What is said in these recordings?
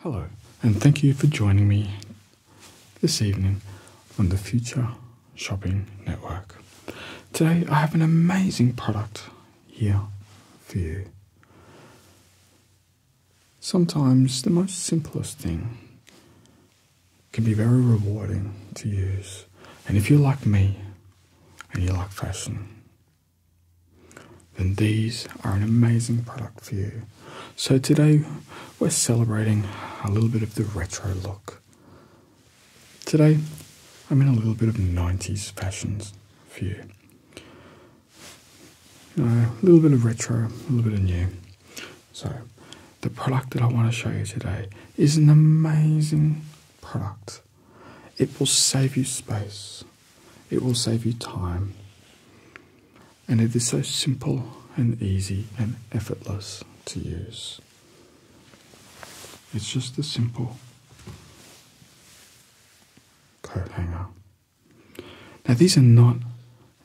Hello, and thank you for joining me this evening on the Future Shopping Network. Today, I have an amazing product here for you. Sometimes the most simplest thing can be very rewarding to use. And if you're like me and you like fashion, then these are an amazing product for you. So today we're celebrating a little bit of the retro look. Today I'm in a little bit of 90s fashions for you. you uh, know, a little bit of retro, a little bit of new. So the product that I want to show you today is an amazing product. It will save you space. It will save you time. And it is so simple and easy and effortless to use. It's just a simple coat hanger. Now, these are not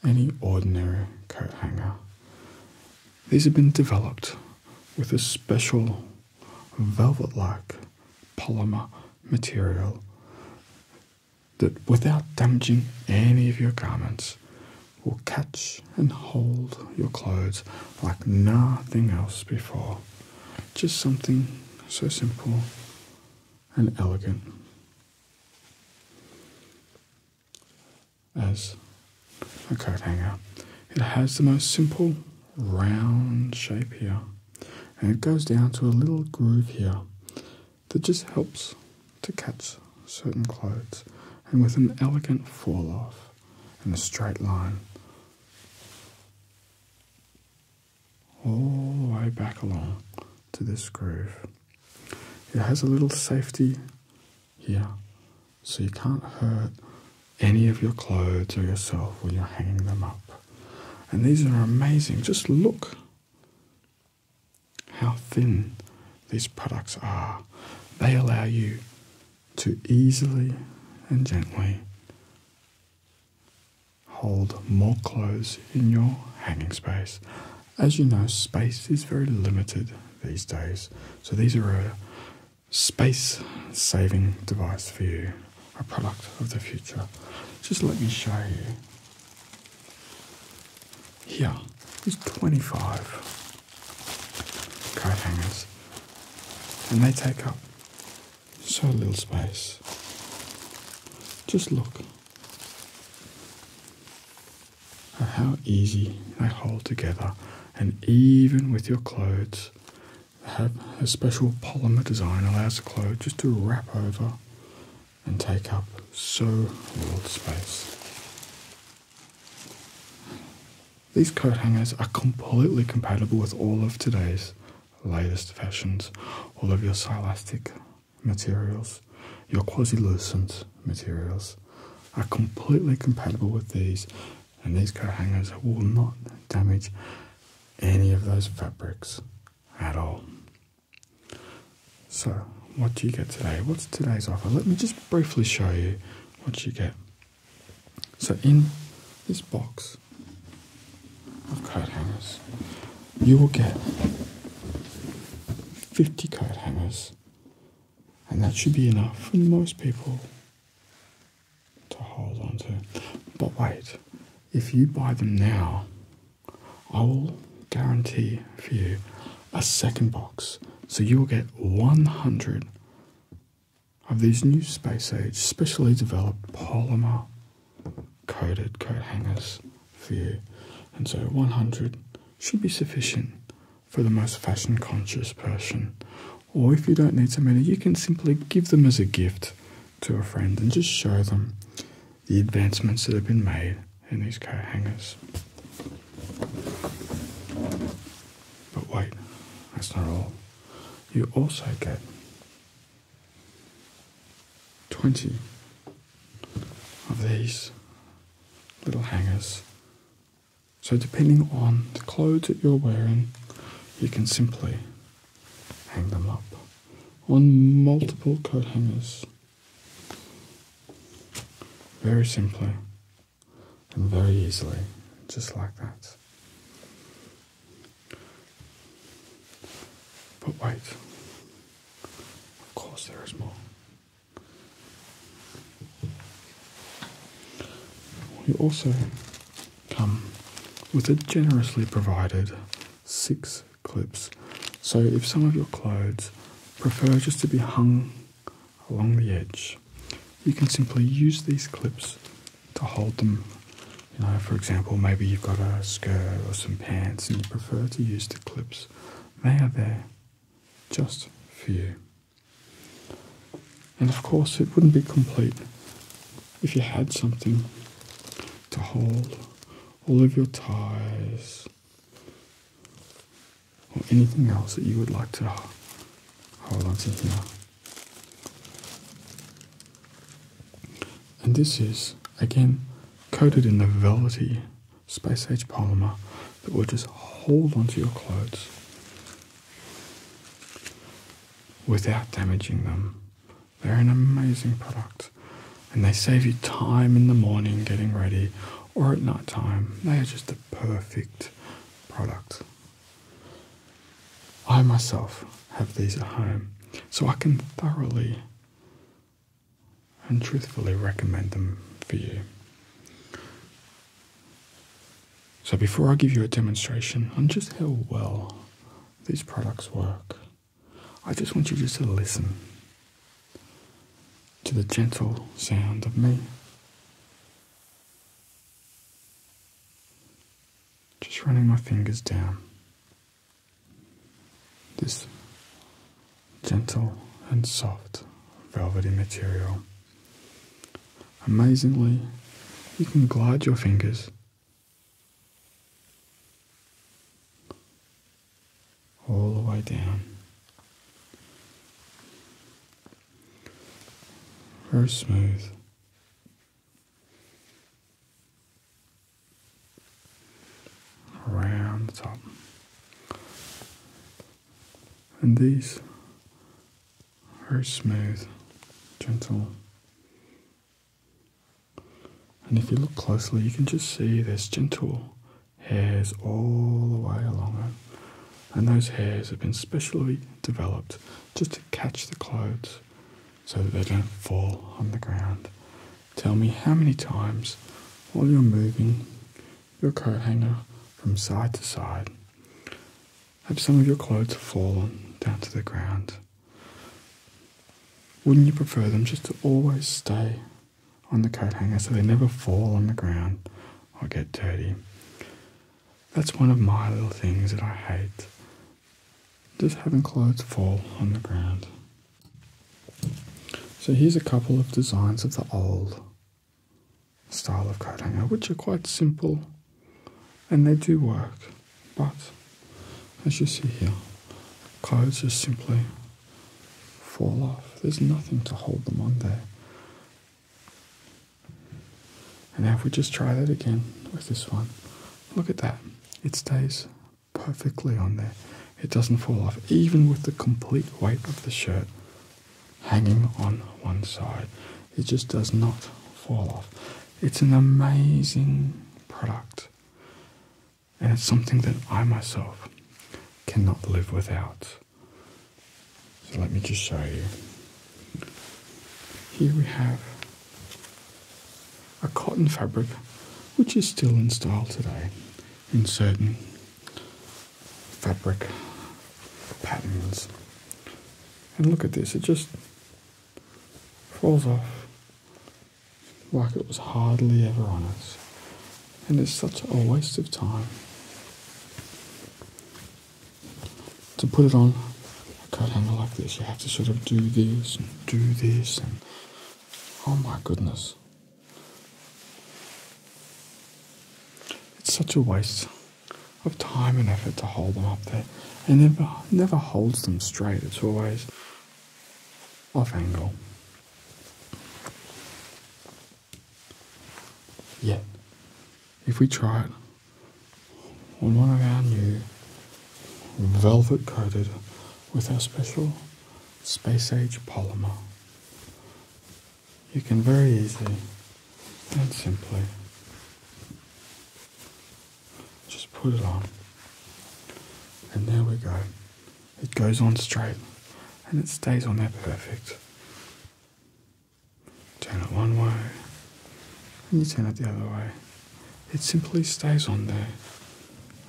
any ordinary coat hanger, these have been developed with a special velvet like polymer material that, without damaging any of your garments, will catch and hold your clothes like nothing else before. Just something so simple and elegant as a coat hanger. It has the most simple round shape here and it goes down to a little groove here that just helps to catch certain clothes and with an elegant fall off and a straight line all the way back along to this groove. It has a little safety here so you can't hurt any of your clothes or yourself when you're hanging them up. And these are amazing. Just look how thin these products are. They allow you to easily and gently hold more clothes in your hanging space. As you know, space is very limited these days, so these are space saving device for you, a product of the future. Just let me show you. Here is 25 coat hangers, and they take up so little space. Just look at how easy they hold together, and even with your clothes, have a special polymer design allows the clothes just to wrap over and take up so little space. These coat hangers are completely compatible with all of today's latest fashions, all of your silastic materials, your quasi-lucent materials are completely compatible with these and these coat hangers will not damage any of those fabrics at all. So, what do you get today? What's today's offer? Let me just briefly show you what you get. So, in this box of coat hangers, you will get 50 coat hangers, and that should be enough for most people to hold on to. But wait, if you buy them now, I will guarantee for you a second box. So you will get 100 of these new space age, specially developed polymer coated coat hangers for you. And so 100 should be sufficient for the most fashion conscious person. Or if you don't need so many, you can simply give them as a gift to a friend and just show them the advancements that have been made in these coat hangers. But wait, that's not all. You also get 20 of these little hangers so, depending on the clothes that you're wearing, you can simply hang them up on multiple coat hangers. Very simply and very easily, just like that. But wait, of course, there is more. We also come with a generously provided six clips. So if some of your clothes prefer just to be hung along the edge, you can simply use these clips to hold them. You know, for example, maybe you've got a skirt or some pants and you prefer to use the clips. They are there just for you. And of course, it wouldn't be complete if you had something to hold all of your ties or anything else that you would like to hold onto here. And this is, again, coated in the velvety Space Age polymer that will just hold onto your clothes without damaging them. They're an amazing product and they save you time in the morning getting ready or at night time. They are just the perfect product. I myself have these at home so I can thoroughly and truthfully recommend them for you. So before I give you a demonstration on just how well these products work, I just want you just to listen to the gentle sound of me. Just running my fingers down this gentle and soft velvety material. Amazingly, you can glide your fingers all the way down. Very smooth around the top. And these are smooth, gentle. And if you look closely, you can just see there's gentle hairs all the way along it. And those hairs have been specially developed just to catch the clothes so that they don't fall on the ground Tell me how many times, while you're moving your coat hanger from side to side, have some of your clothes fallen down to the ground? Wouldn't you prefer them just to always stay on the coat hanger so they never fall on the ground or get dirty? That's one of my little things that I hate. Just having clothes fall on the ground. So here's a couple of designs of the old style of coat hanger, which are quite simple and they do work. But as you see here, clothes just simply fall off. There's nothing to hold them on there. And now if we just try that again with this one, look at that. It stays perfectly on there. It doesn't fall off, even with the complete weight of the shirt hanging on one side. It just does not fall off. It's an amazing product, and it's something that I myself cannot live without. So let me just show you. Here we have a cotton fabric which is still in style today in certain fabric patterns. And look at this, it just falls off like it was hardly ever on us. And it's such a waste of time to put it on a coat hanger like this. You have to sort of do this and do this and Oh my goodness. It's such a waste of time and effort to hold them up there. It never, never holds them straight, it's always off angle. Yet, if we try it one of our new velvet coated with our special space age polymer. You can very easily and simply just put it on, and there we go. It goes on straight and it stays on there perfect. Turn it one way and you turn it the other way it simply stays on there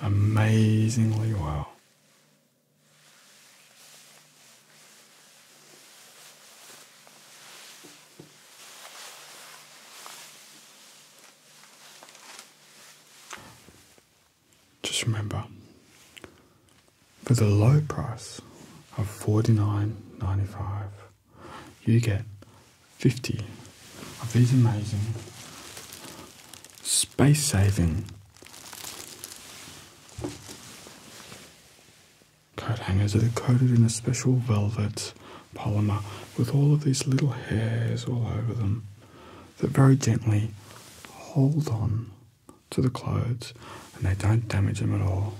amazingly well. Just remember, for the low price of forty nine ninety five you get 50 of these amazing space saving coat hangers that are coated in a special velvet polymer with all of these little hairs all over them that very gently hold on to the clothes and they don't damage them at all.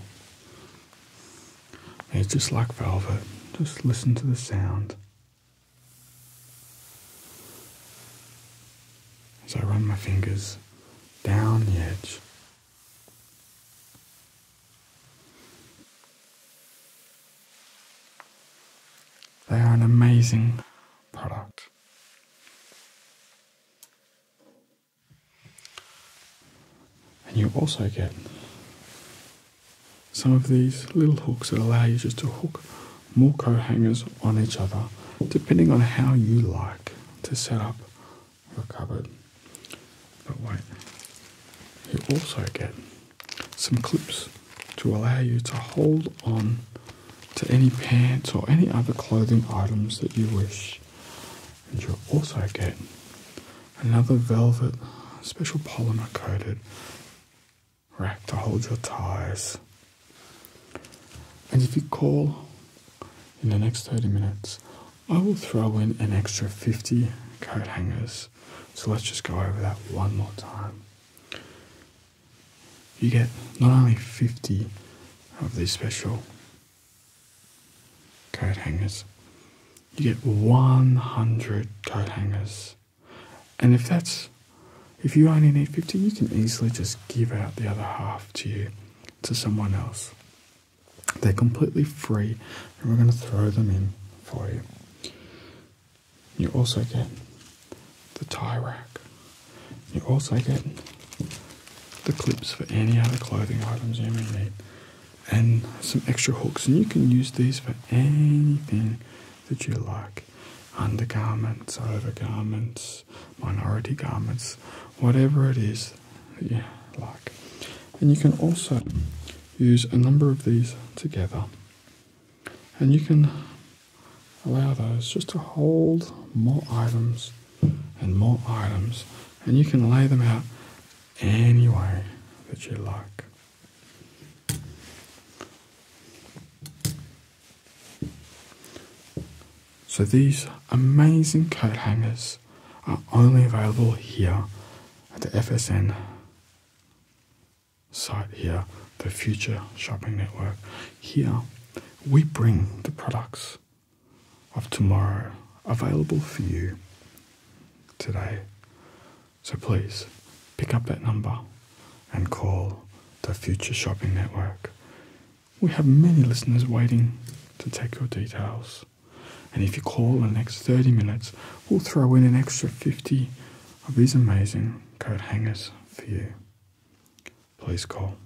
It's just like velvet. Just listen to the sound. As I run my fingers down the edge. They are an amazing product. And you also get some of these little hooks that allow you just to hook more coat hangers on each other depending on how you like to set up your cupboard. But wait, you also get some clips to allow you to hold on to any pants or any other clothing items that you wish. And you also get another velvet, special polymer coated rack to hold your ties. And if you call in the next 30 minutes, I will throw in an extra 50 coat hangers. So let's just go over that one more time. You get not only 50 of these special coat hangers. You get 100 coat hangers. And if that's, if you only need 50, you can easily just give out the other half to you, to someone else. They're completely free and we're going to throw them in for you. You also get the tie rack. You also get the clips for any other clothing items you may need and some extra hooks and you can use these for anything that you like undergarments overgarments minority garments whatever it is that you like and you can also use a number of these together and you can allow those just to hold more items and more items, and you can lay them out any way that you like. So these amazing coat hangers are only available here at the FSN site here, the Future Shopping Network. Here, we bring the products of tomorrow available for you today. So please pick up that number and call the Future Shopping Network. We have many listeners waiting to take your details. And if you call in the next 30 minutes, we'll throw in an extra 50 of these amazing coat hangers for you. Please call.